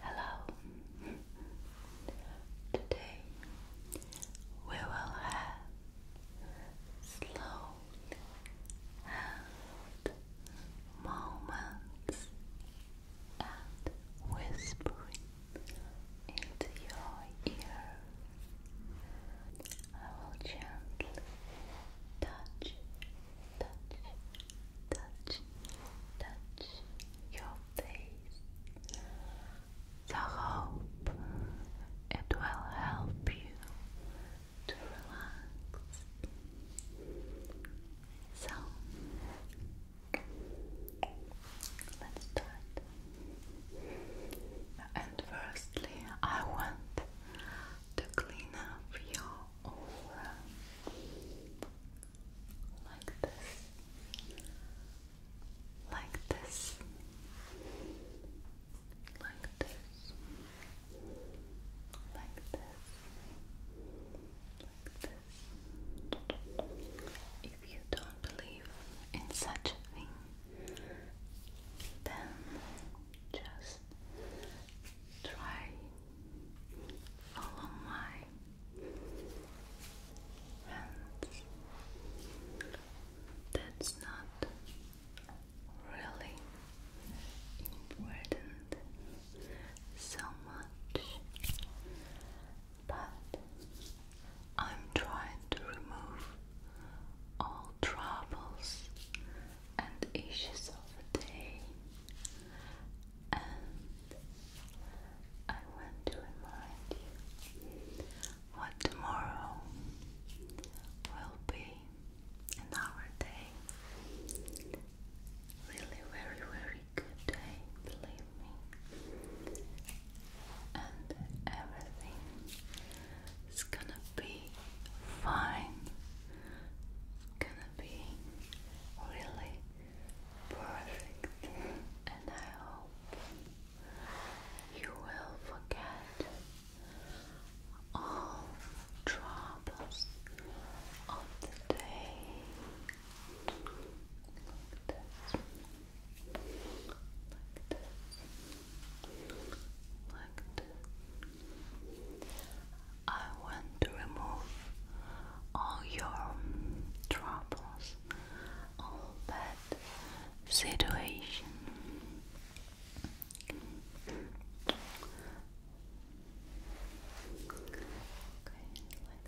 Hello. Today we will have slow and moments and whispering into your ear. I will gently touch, touch, touch, touch your face. I hope it will help you to relax. So, Let's start. And firstly, I want to clean up your aura like this, like this, like this, like this, like If you don't believe in such a thing, then just try follow my hands. That's not really important so much, but I'm trying to remove all troubles and issues of the day, and I want to remind you what tomorrow will be in our day really very very good day, believe me. And everything is gonna be fine. gonna be really perfect. And I hope you will forget all troubles of the day. I want to remove all your troubles, all bad situation.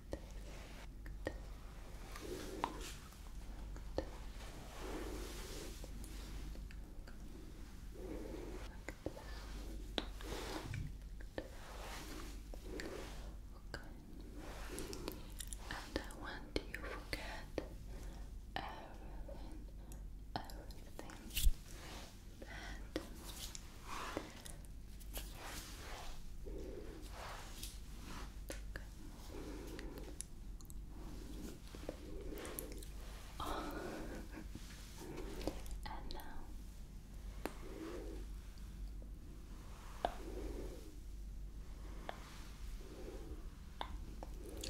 And I want you forget everything, everything Oh. and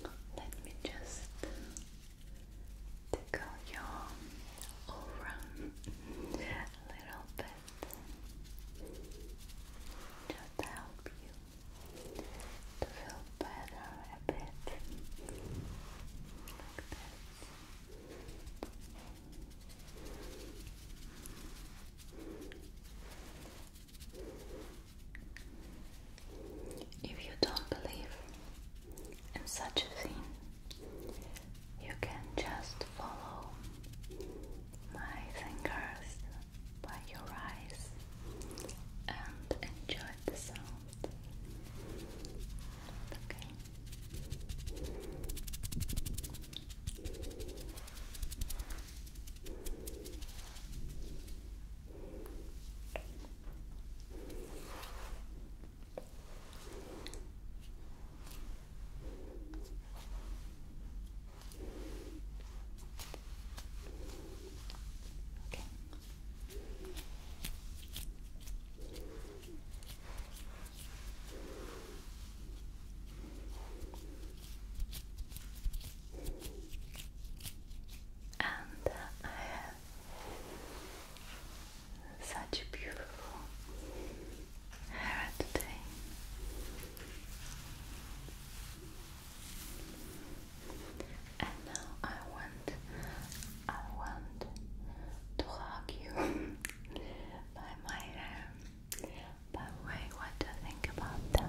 now let me just tickle your aura that little bit just to help you to feel better a bit if you don't believe in such a thing you can just follow my fingers by your eyes and enjoy the sound. Okay. Okay. And uh, I have such a beautiful hair today. And now I want, I want to hug you by my hair. By what do you think about them?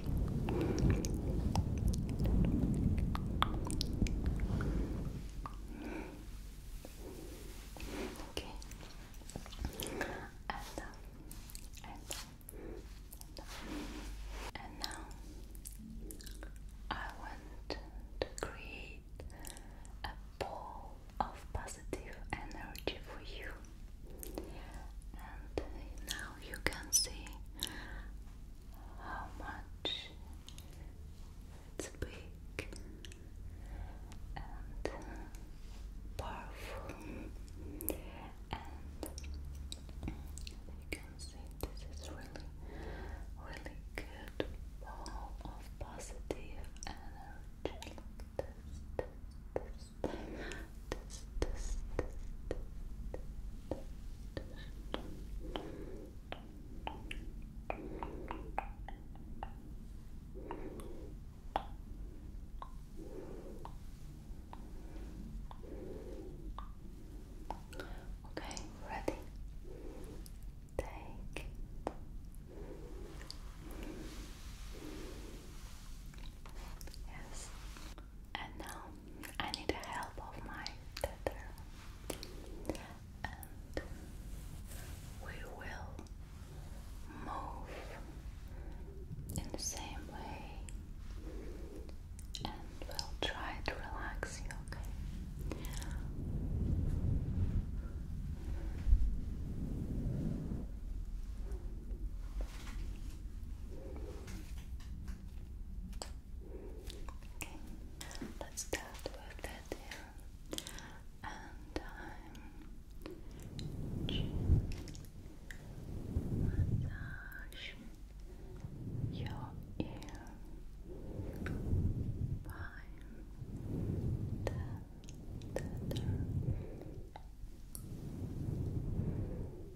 Okay. And, uh, and, uh, and now I want to create a ball of positive energy for you. And now you can see how much it's big and powerful and you can see this is really really good ball of energy Okay, ready? Take Yes. And now I need the help of my tether, and we will move in the same way, and we'll try to relax you. Okay. Okay, let's start with that here. And massage your ear by the the,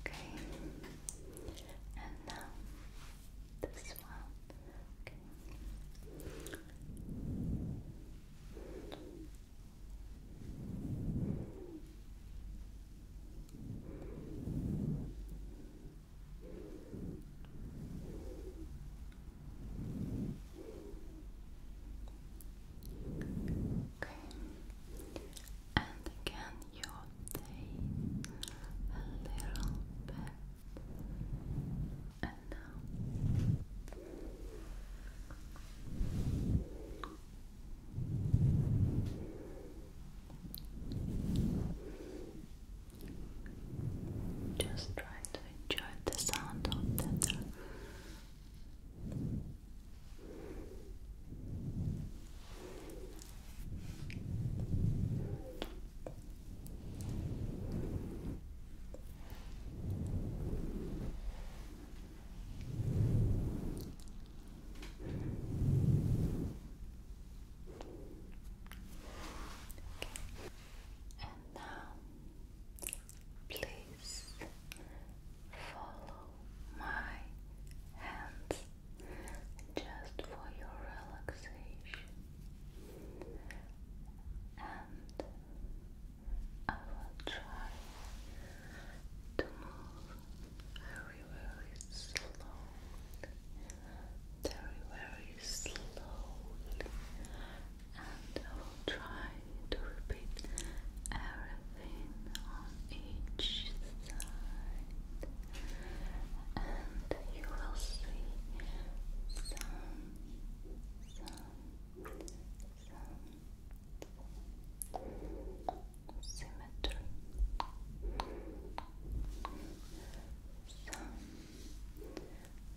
Okay. And now this one. Okay. And again, your day a little bit. Just try to enjoy the sound of that. And now, please follow my hands just for your relaxation, and I will try to move very, very slowly, very, very slowly, and I will try to repeat everything on each side and you will see some, some, some symmetry,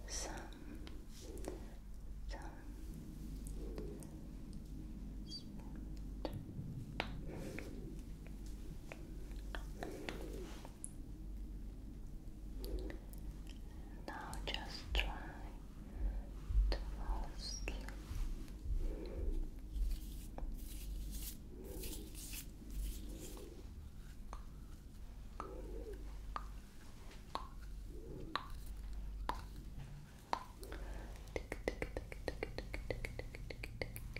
some, some, some. Now just try to fall tick, tick, tick, tick, tick, tick, tick, tick, tick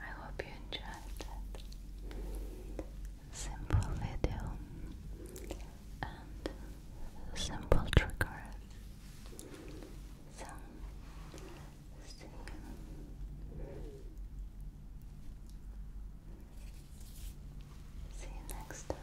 I hope you enjoyed it simple video and simple trigger. So, see you. See you next time.